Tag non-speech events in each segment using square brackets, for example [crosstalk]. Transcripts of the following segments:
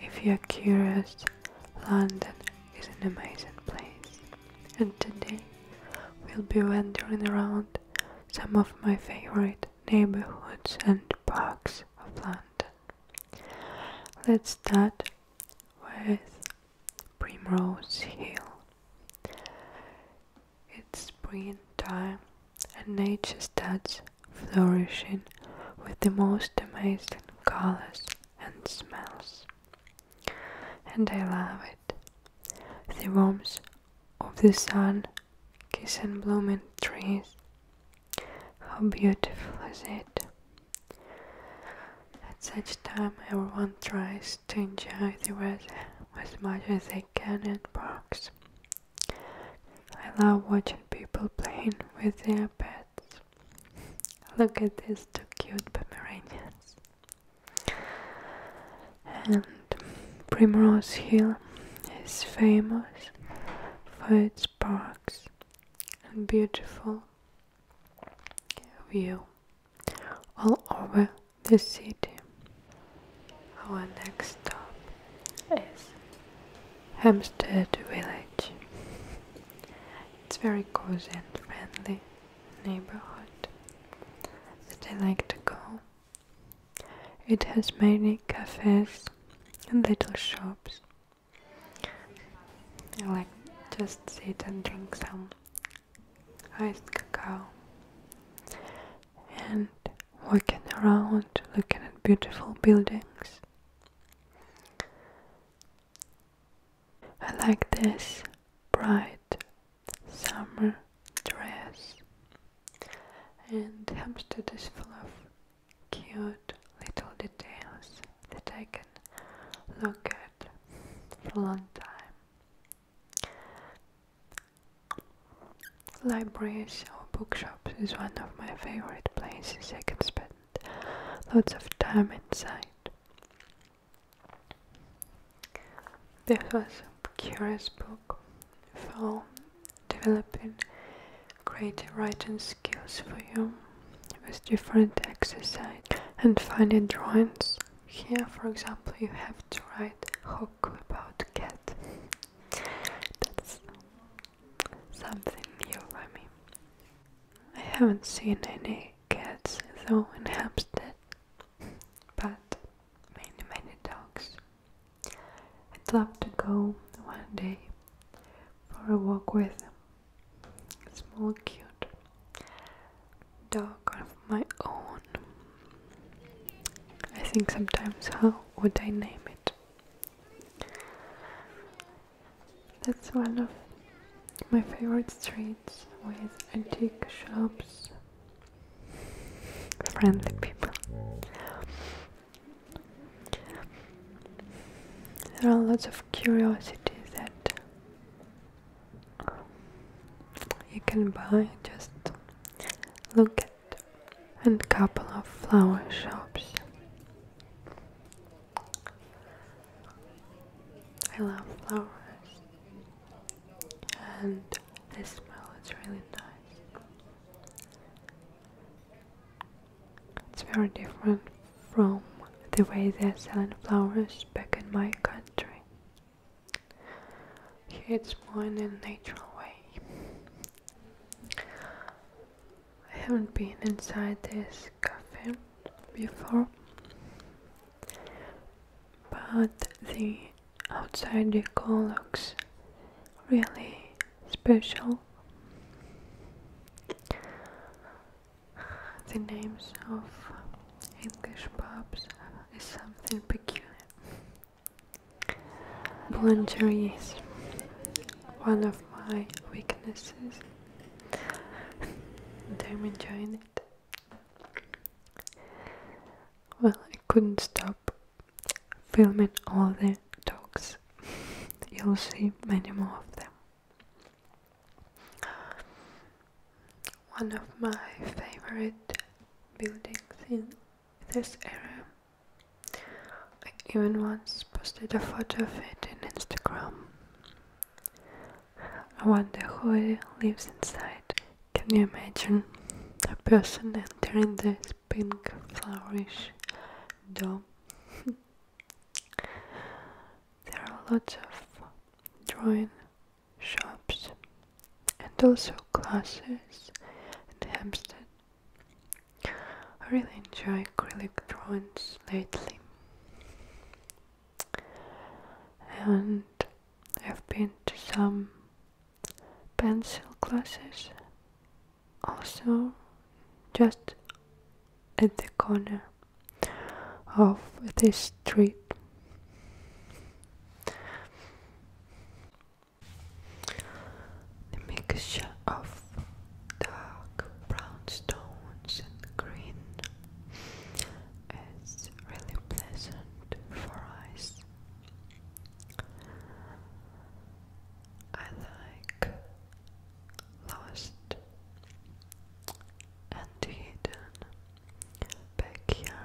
If you're curious, London is an amazing place, and today we'll be wandering around some of my favorite neighborhoods and parks of London. Let's start with Primrose Hill. It's springtime and nature starts flourishing with the most amazing colors and smells. And I love it. The warmth of the sun kissing blooming trees. How beautiful is it? At such time everyone tries to enjoy the weather as much as they can in parks I love watching people playing with their pets. Look at these two cute Pomeranians. And Primrose Hill is famous for its parks and beautiful view all over the city. Our next stop Yes, Hampstead Village. It's very cozy and friendly neighborhood that I like to go. It has many cafes and little shops. I like just sit and drink some iced cacao and walking around looking at beautiful buildings I like this bright summer dress, and hamster is full of cute little details that I can look at for a long time. Libraries or bookshops is one of my favorite places. I can spend lots of time inside. This was a curious book for developing great writing skills for you with different exercise and finding drawings. Here, for example, you have to write hook about cat. That's something new for me. I haven't seen any cats though in Hampstead, but many, many dogs. I'd love to go one day for a walk with a small, cute dog of my own. I think sometimes, how would I name it? That's one of my favorite streets with antique shops, friendly people. There are lots of curiosities that you can buy, just look market and couple of flower shops. I love flowers and the smell is really nice. It's very different from the way they're selling flowers back in my country. it's more in a natural way. I haven't been inside this cafe before, but the outside decor looks really special. The names of English pubs is something peculiar. Boulangerie is one of my weaknesses I'm [laughs] enjoying it. Well, I couldn't stop filming all the dogs. [laughs] You'll see many more of them. One of my favorite buildings in this area. I even once posted a photo of it in Instagram. I wonder who lives inside. Can you imagine a person entering this pink flowerish dome? [laughs] there are lots of drawing shops and also classes in Hampstead. I really enjoy acrylic drawings lately and I've been to some pencil classes also just at the corner of this street the mixture of dark brown stones and green is really pleasant for eyes. I like lost and hidden Backyard.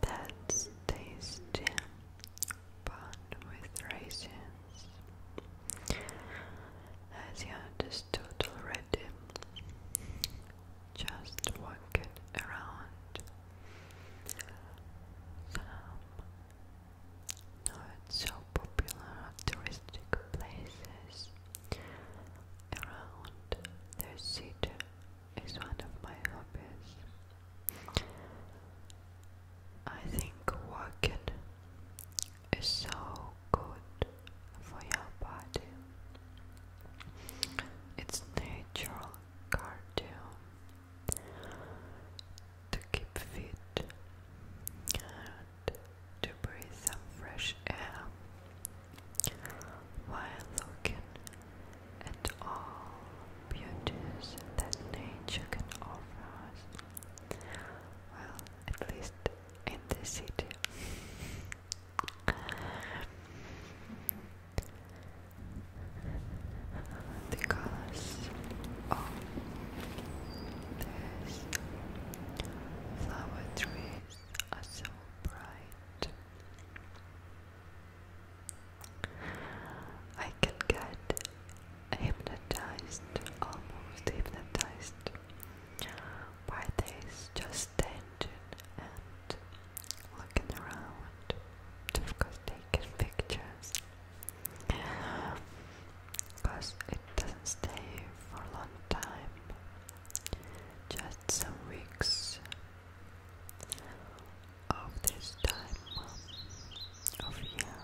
That's tasty, bun with raisins. As you understood already, just walk it around. Some not so popular touristic places Around the city is one of my hobbies. I think walking is so good for your body. It's natural cardio to keep fit to breathe some fresh air while looking at all beauties that nature can offer us. Well, at least in the city. the colors of this Flower trees are so bright. I can get hypnotized, almost hypnotized by this just standing and looking around. Of taking pictures because it doesn't stay for a long time, just some weeks of this time of year.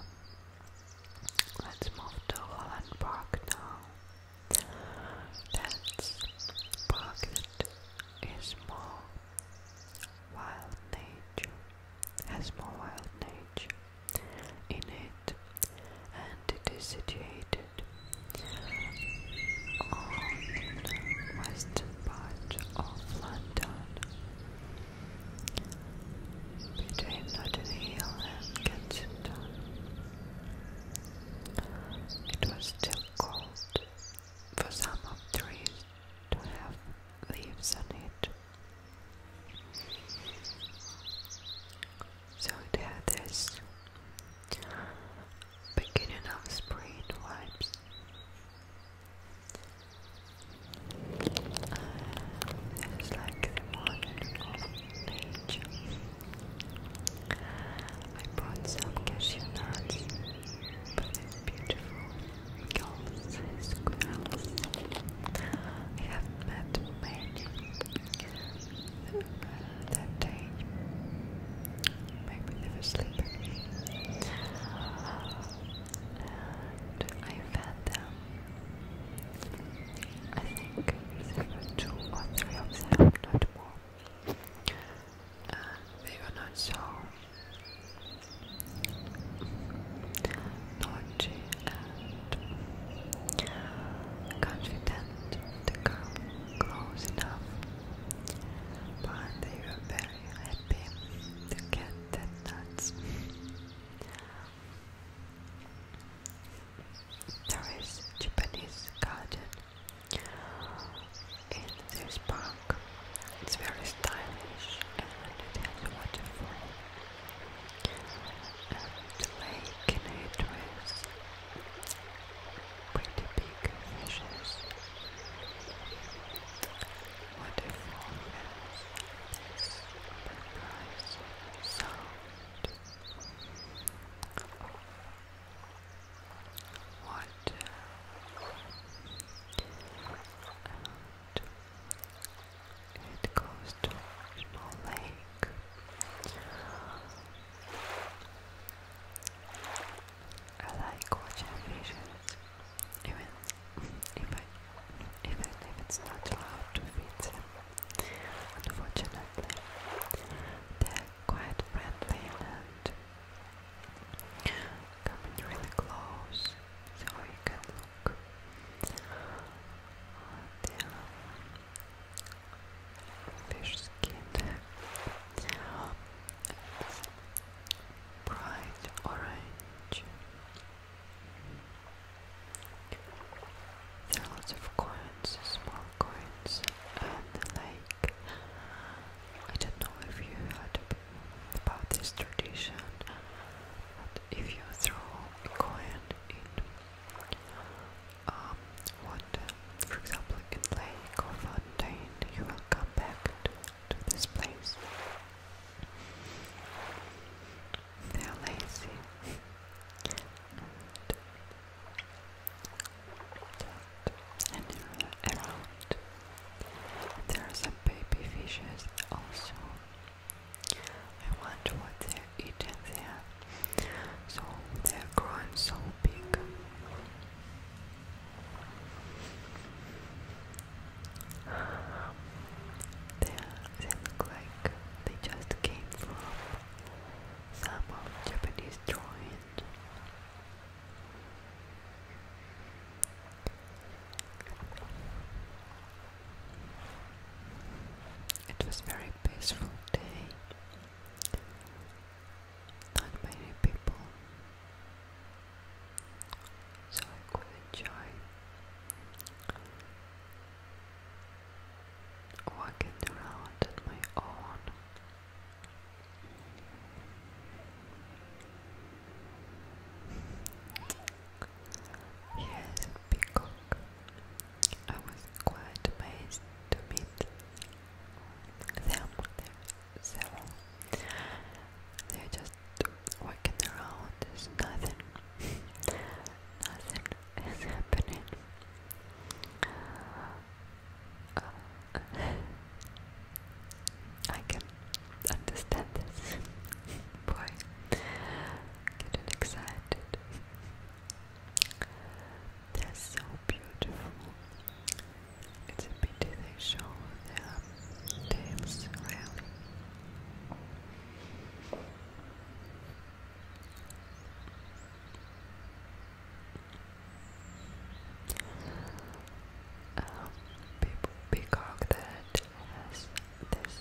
Let's move to Holland Park now. That's park that is more wild nature, has more wild nature in it, and it is situated on the western part of London, between Notting Hill and Kensington. It was still cold for some of the trees to have leaves on it. So it beginning of spring vibes. Um, like the morning of nature. I bought some cashew nuts, but it's beautiful squirrels. I have met many that day. Make me And I fed them. I think there were two or of them, not more. they were not so Noche and confident to come close enough, but they were very happy to get that nuts. There is Japanese garden in this park. It's very stylish and it has waterfall. And lake in it with pretty big fishes, waterfall has this water and it goes to a small lake. I like watching fishes, even if it's not allowed to feed them. Unfortunately, they're quite friendly and coming really close, so you can the fish skin. bright orange. There are lots of coins, small coins, and the lake. I don't know if you had a about this tradition if you throw a coin in um, water, for example, in lake or fountain, you will come back to, this place. They are lazy. and around there are some baby fishes also. I wonder what they're eating there. So they're growing so big. They, look like they just came from some of Japanese drawing. It was a very peaceful day. Not many people, so I could enjoy walking around on my own. Yes, peacock. I was quite amazed to meet them. They're just walking around. There's nothing. nothing is happening. Uh, I can understand this. Boy, getting excited. They're so beautiful. It's a pity they show their tails rarely um, peacock that has this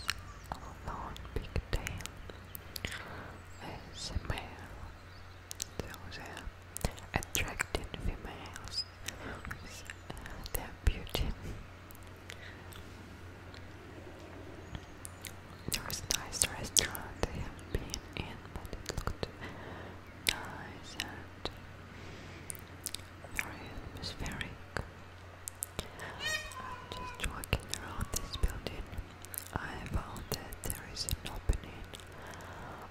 long big tail is a male. Those are attracting females with uh, their beauty. There was a nice restaurant they have been in, but it looked nice and very atmospheric. I'm just walking around this building. I found that there is an opening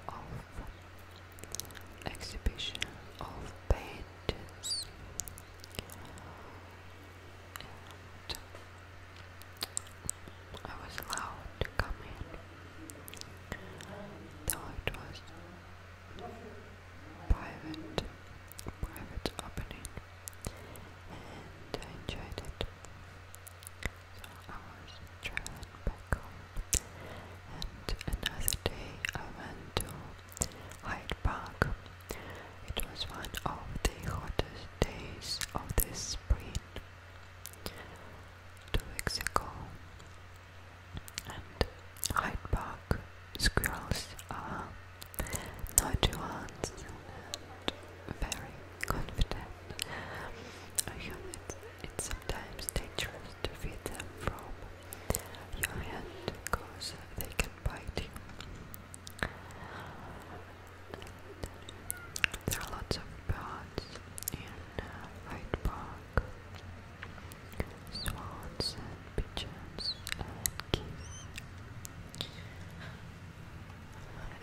of exhibition of paintings. And I was allowed to come in, though it was private, private opening, and I enjoyed it. So I was traveling back home, and another day I went to Hyde Park. It was one of the hottest days of this spring. Two weeks ago, and Hyde Park squirrels are nodules and very confident. I hear it's sometimes dangerous to feed them from your hand because they can bite you. there are lots of birds in uh, Hyde Park cock, swans and pigeons and geese.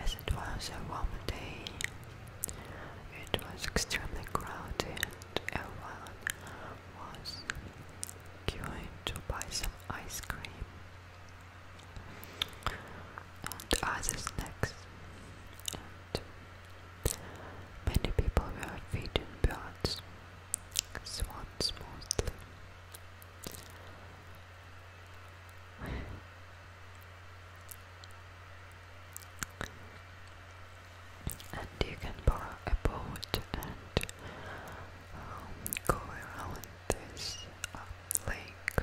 As it was a warm day, it was extremely crowded. and Everyone was going to buy some ice cream and other snacks. Many people wear feeding birds, swans mostly. and you can borrow a boat and um, go around this uh, lake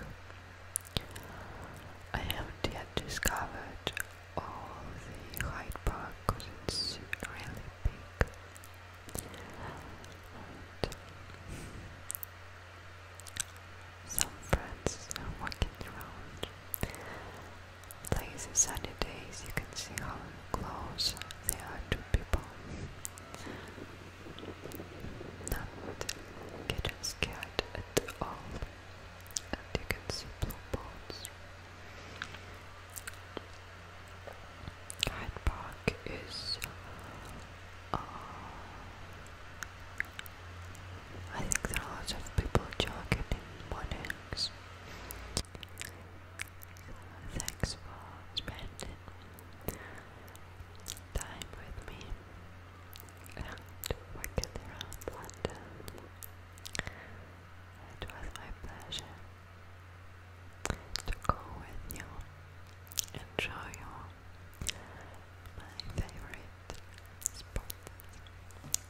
I haven't yet discovered all the Hyde Park because it's really big. some friends are walking around. Lazy sunny days, you can see how close they are to people. Not getting scared at all and you can blue boats. Hyde Park is, uh, I think there are lots of people jogging in mornings. Thanks for spending time with me and working around London. It was my pleasure to go with you and show you my favorite spots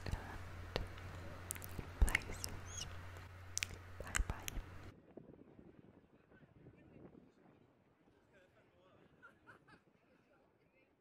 and places. Bye bye.